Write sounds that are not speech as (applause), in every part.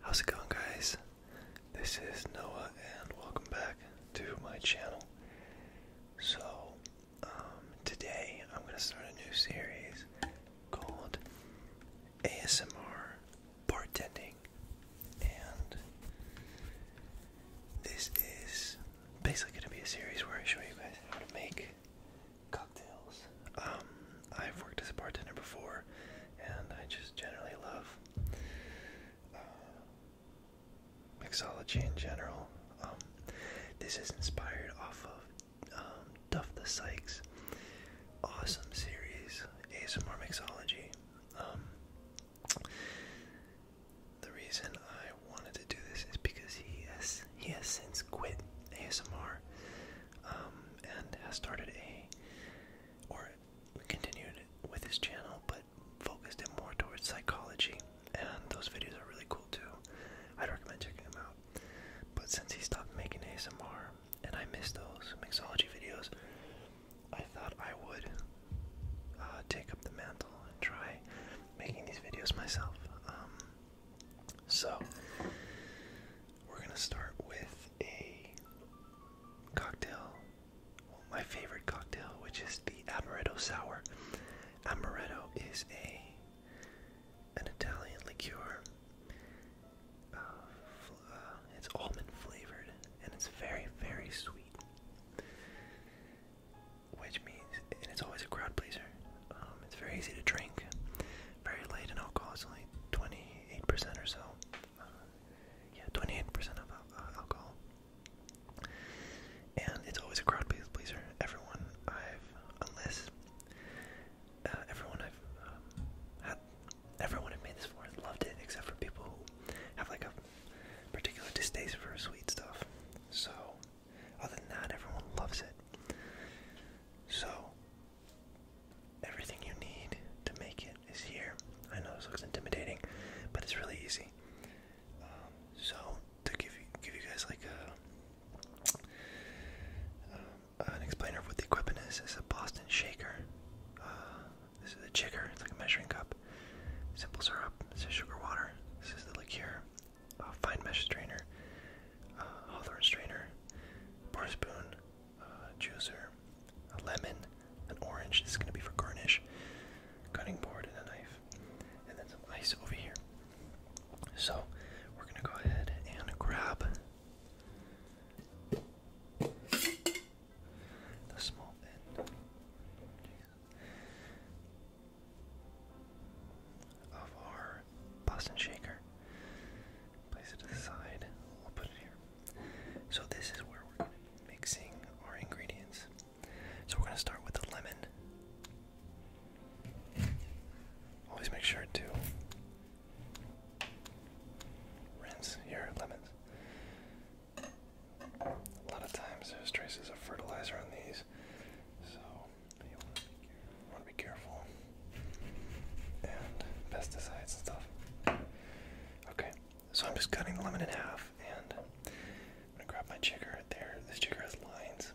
How's it going, guys? This is Noah, and welcome back to my channel. So, um, today I'm going to start a new series called ASMR Bartending, and this is basically going to be a series where I show you guys how to make cocktails. Um, I've worked as a bartender before, and I just generally love uh, mixology in general. Um, this is inspired off of um, Duff the Sykes' awesome series, ASMR Mixology. the reason I wanted to do this is because he has he has since quit ASMR um, and has started a or continued with his channel, but focused it more towards psychology. And those videos are really cool too. I'd recommend checking them out. But since he stopped making ASMR, and I missed those mixology videos, I thought I would uh, take up the mantle and try making these videos myself. Um, so, we're going to start with a cocktail, my favorite cocktail, which is the amaretto sour. Amaretto is a an Italian liqueur. Uh, uh, it's almond flavored and it's very, very sweet. Which means, and it's always a crowd pleaser. Um, it's very easy to drink, very light in alcohol. It's only 28% or so. Uh, yeah, 28% of uh, alcohol. And it's always a crowd pleaser. Everyone I've, unless uh, everyone I've um, had, everyone I've made this for loved it, except for people who have like a particular distaste for sweet stuff. So other than that, everyone loves it. So, everything you need to make it is here. I know this looks intimidating, but it's really easy. Um, so, to give you, guys like a, um, an explainer of what the equipment is, is a Boston shaker. Uh, this is a jigger, it's like a measuring cup. Simple syrup, this is sugar water, this is the liqueur, a uh, fine mesh strainer, a uh, hawthorn strainer, bar spoon, uh, juicer, a lemon, an orange. This is going to be for garnish, cutting board, and a knife, and then some ice over here. So we're going to go ahead and grab the small end of our Boston shaker. Place it to the side. We'll put it here. So this is where we're mixing our ingredients. So we're going to start with the lemon. Always make sure to rinse your lemons. A lot of times there's traces of fertilizer on these, so want to be careful. And pesticides and stuff. Okay, so I'm just cutting the lemon in half, and I'm gonna grab my chicker there. This chicker has lines.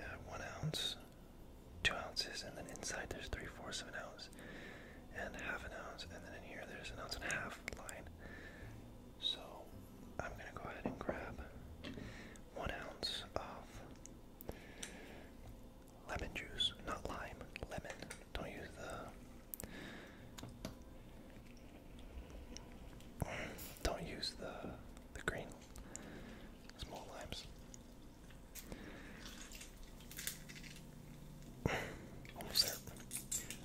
Uh, one ounce, two ounces, and then inside there's three fourths of an ounce, and half an ounce, and then in here there's an ounce and a half line. So I'm going to go ahead and grab one ounce of lemon juice, not lime, lemon. Don't use the don't use the the green small limes. Almost there.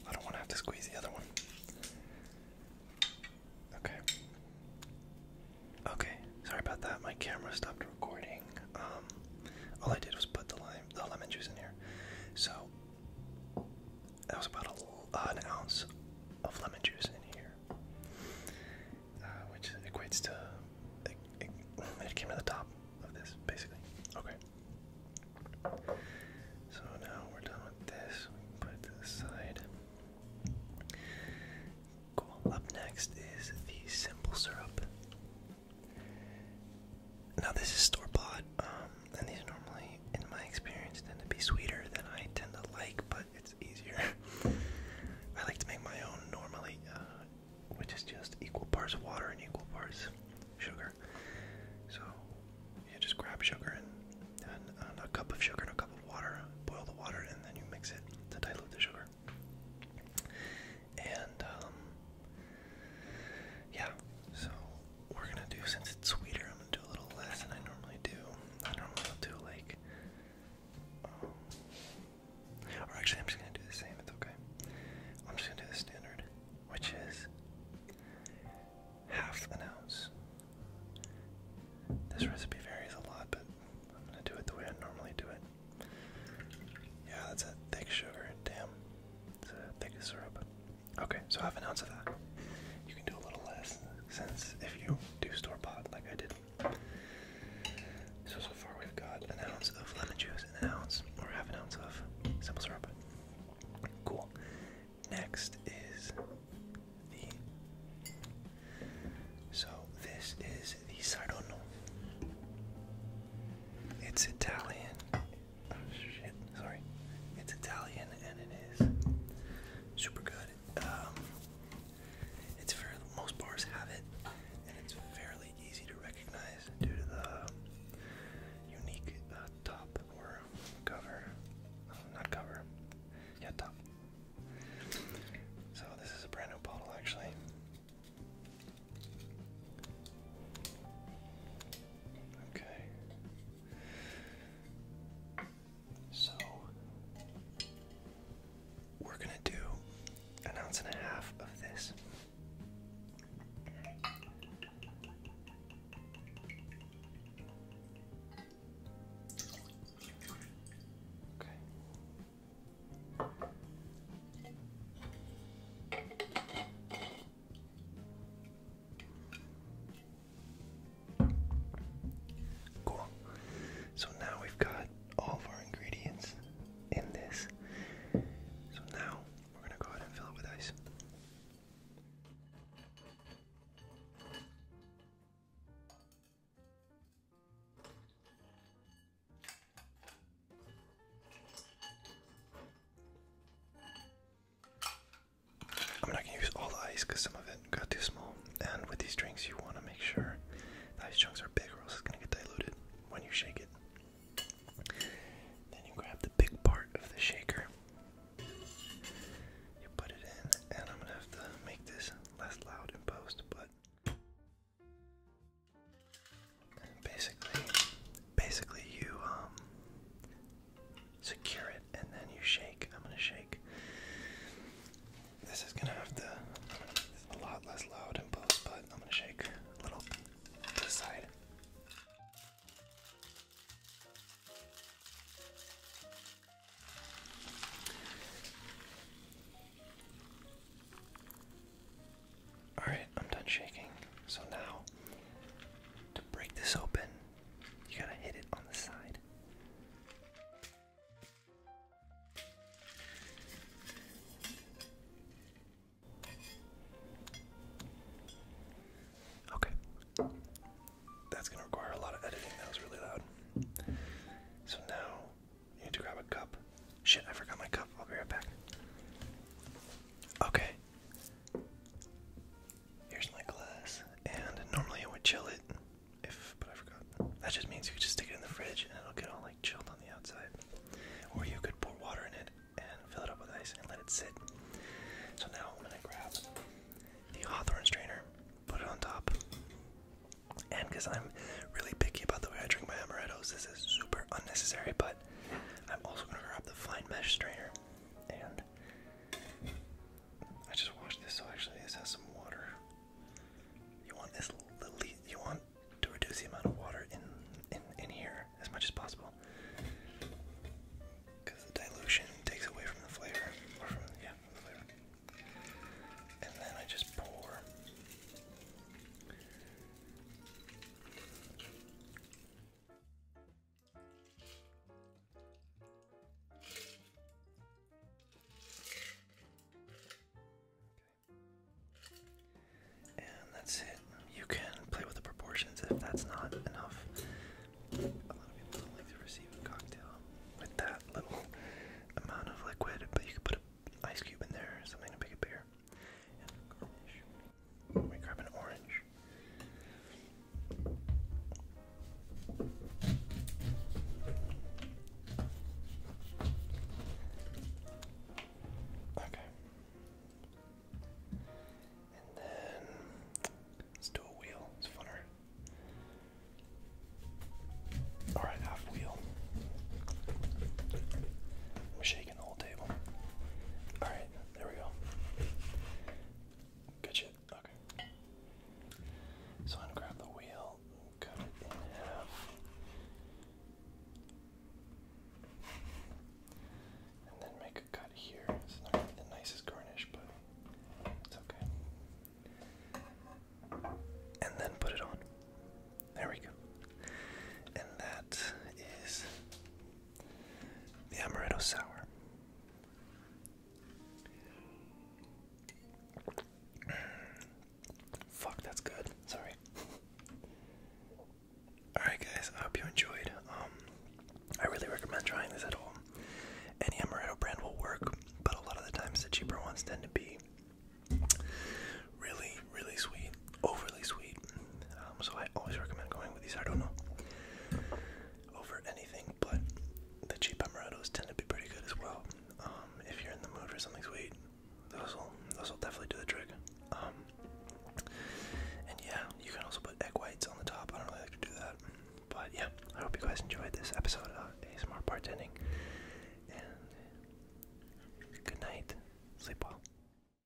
I don't want to have to squeeze the other one. Okay. Okay. Sorry about that. My camera stopped recording. Um, all I did was put the lime, the lemon juice in here. So that was about an ounce of lemon juice in here, uh, which equates to. it came to the top of this, basically. Okay. So now we're done with this. put it to the side. Cool. Up next is the simple syrup. Now this is store bought, um, and these normally, in my experience, tend to be sweeter than I tend to like, but it's easier. (laughs) I like to make my own normally, uh, which is just equal parts water and equal parts sugar. So you just grab sugar and, a cup of sugar and a cup of water, boil the water, and then you mix it to dilute the sugar. And um, yeah, so we're gonna do since it's sweeter, I'm gonna do a little less than I normally do. I normally do like um, or actually, I'm just gonna do the same, it's okay. I'm just gonna do the standard, which is half an ounce. This recipe varies a lot, but I'm gonna do it the way I normally do it. Yeah, that's a thick sugar, damn. It's a thick syrup. Okay, so half an ounce of that. You can do a little less, since if you do store pot like I did. So, so far we've got an ounce of lemon juice an ounce or half an ounce of simple syrup. Cool. Next is the. So this is the Sardono. It's Italian. Oh shit, sorry. It's Italian and it is super good. Um, it's for most bars have it, and it's fairly easy to recognize due to the unique uh, top or cover. Oh, not cover. Yeah, top. So this is a brand new bottle actually. Okay. So we're gonna do an ounce and a half of this. Okay. Cool. So now we've got all of our ingredients in this. So now we're going to go ahead and fill it with ice. I'm not going to use all the ice because some of it got too small and with these drinks, you want to make sure the ice chunks are big, or else it's going to get diluted when you shake it. Then you grab the big part of the shaker, you put it in, and I'm going to have to make this less loud in post, but. basically, basically you um, secure it and then you shake. I'm gonna shake this is gonna have to i a lot less loud and post, but I'm gonna shake a little to the side. Alright, I'm done shaking. So now, to break this open, you gotta hit it on the side. Okay. That's going to require a lot of editing. That was really loud. So now you need to grab a cup. Shit, I forgot my cup. I'll be right back. Okay. Here's my glass, and normally I would chill it that just means you just stick it in the fridge and it'll get all like chilled on the outside. Or you could pour water in it and fill it up with ice and let it sit. So now I'm gonna grab the Hawthorne strainer, put it on top. And because I'm really picky about the way I drink my amarettos, this is super unnecessary, but I'm also gonna grab the fine mesh strainer and I just washed this, so actually this has some water. You want this little, you want to reduce the amount of water in in here as much as possible, because the dilution takes away from the flavor, or from yeah, the flavor. And then I just pour. And that's it. You can play with the proportions if that's not enough. A lot of people don't like to receive a cocktail with that little (laughs) amount of liquid, but you could put an ice cube in there something to make it bigger. And grab an orange. Okay. And then let's do a wheel. It's funner. Alright, half wheel. I'm shaking the whole table. Alright, there we go. Good shit. Okay. So i grab the wheel, cut it in half. And then make a cut here. It's not the nicest garnish, but it's okay. And then put it on. There we go. And that is the amaretto sour. (clears throat) Fuck, that's good. Sorry. (laughs) Alright, guys, I hope you enjoyed. Um, I really recommend trying this at home. Any amaretto brand will work, but a lot of the times the cheaper ones tend to be really, really sweet overly sweet. Um, so I always recommend going with these. I don't know over anything, but the cheap amarados tend to be pretty good as well. Um, if you're in the mood for something sweet, those will definitely do the trick. Um, and yeah, you can also put egg whites on the top. I don't like to do that, but yeah, I hope you guys enjoyed this episode of ASMR bartending. And good night. Sleep well.